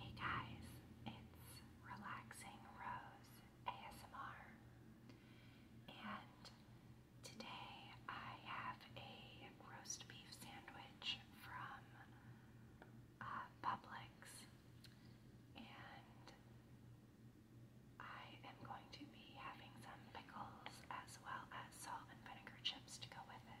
Hey guys, it's Relaxing Rose ASMR, and today I have a roast beef sandwich from uh, Publix, and I am going to be having some pickles as well as salt and vinegar chips to go with it.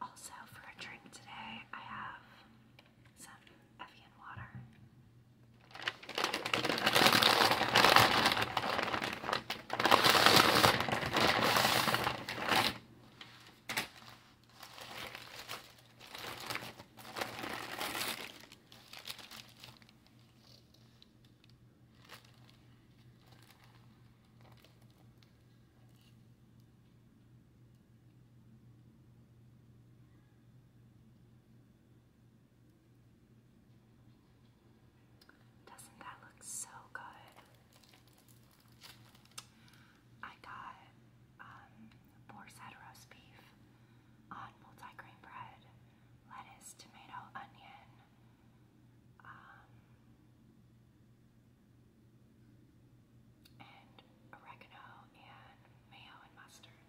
Also, for a drink today, I have some Evian water. Doesn't that look so good? I got um, boar's roast beef on multi bread, lettuce, tomato, onion, um, and oregano, and mayo and mustard.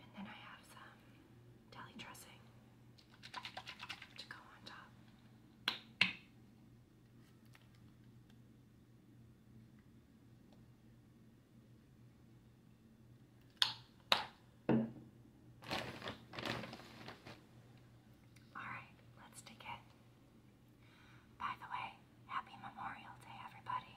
And then I have some deli dressing to go on top. Alright, let's dig it. By the way, happy Memorial Day, everybody.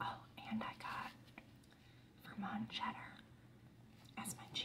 Oh, and I got Vermont cheddar as my cheese.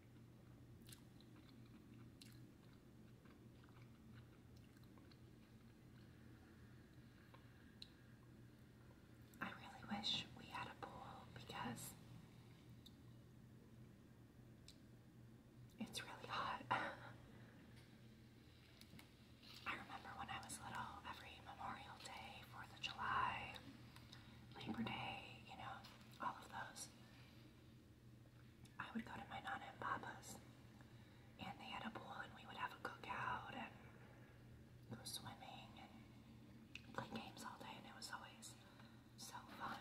I really wish we had a pool because it's really hot. I remember when I was little, every Memorial Day, 4th of July, Labor Day, you know, all of those. I would go to my nana and papa's, and they had a pool, and we would have a cookout and go swimming and play games all day, and it was always so fun.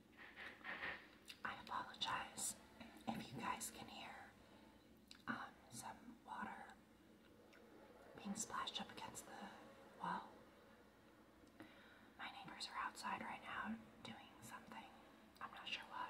I apologize if you guys can hear um, some water being splashed up against the wall. My neighbors are outside right now doing something. I'm not sure why.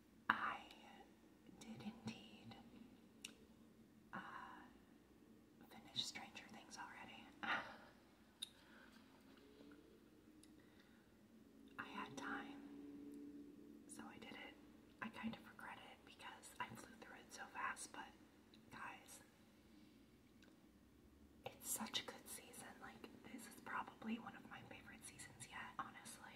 I did indeed uh, finish Stranger Things already. I had time, so I did it. I kind of regret it because I flew through it so fast, but guys, it's such a good season. Like, this is probably one of my favorite seasons yet, honestly.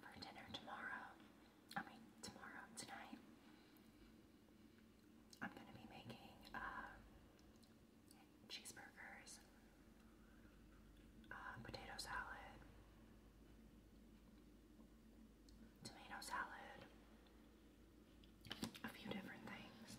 For dinner tomorrow, I mean, tomorrow, tonight, I'm going to be making um, cheeseburgers, uh, potato salad, tomato salad, a few different things.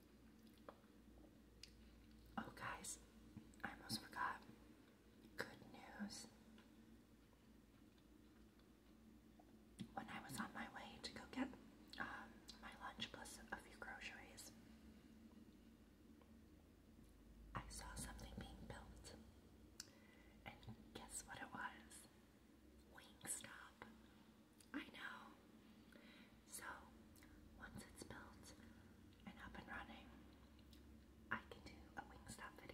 Oh, guys, I almost forgot. Good news. When I was on my way to go get um, my lunch plus a few groceries, I saw something being built. And guess what it was? Wingstop. I know. So, once it's built and up and running, I can do a Wingstop video.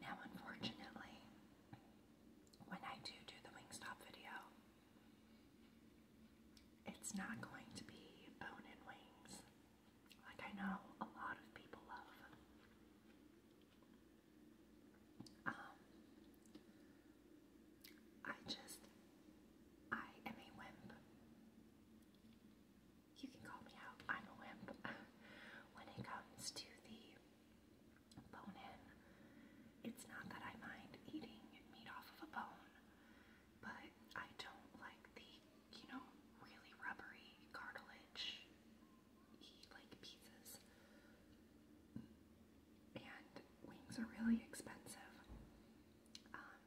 Now, unfortunately, when I do do the Wingstop video, it's not going to be bone and wings like I know a lot of people love. Um, I just, I am a wimp. You can call me out, I'm a wimp. when it comes to the bone in, it's not that I mind eating meat off of a bone, but I don't like the you know, really rubbery cartilage like pieces. And wings are really expensive. Um,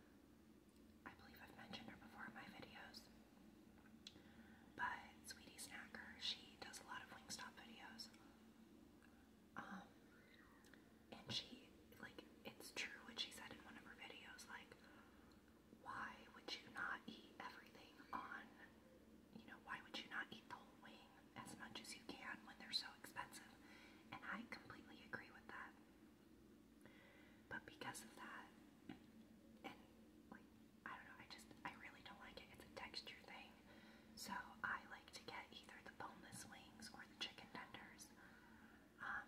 I believe I've mentioned her before in my videos. But Sweetie Snacker, she does a lot of Wingstop videos. Um, and she, like, it's true what she said in one of her videos, like, why would you not eat everything on, you know, why would you not eat the whole wing as much as you can when they're so expensive? And I completely agree with that. But because of that, and like, I don't know, I just, I really don't like it. It's a texture thing. So I like to get either the boneless wings or the chicken tenders. Um,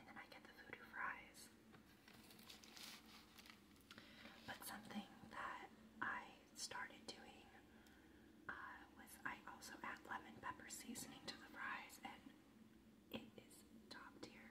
and then I get the voodoo fries. But something that I started doing uh, was I also add lemon pepper seasoning to the fries, and it is top tier.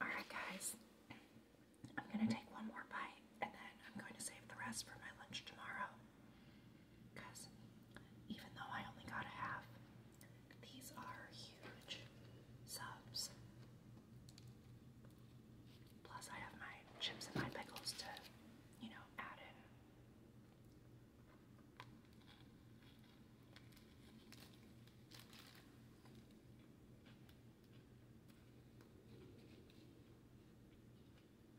Alright, guys, I'm going to take one more bite and then I'm going to save the rest for my lunch tomorrow because even though I only got a half, these are huge subs. Plus, I have my chips and my pickles to, you know, add in.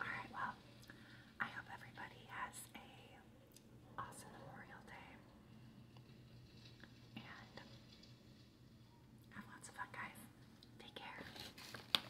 All right, well, I hope everybody has a awesome Memorial Day. And have lots of fun, guys. Take care.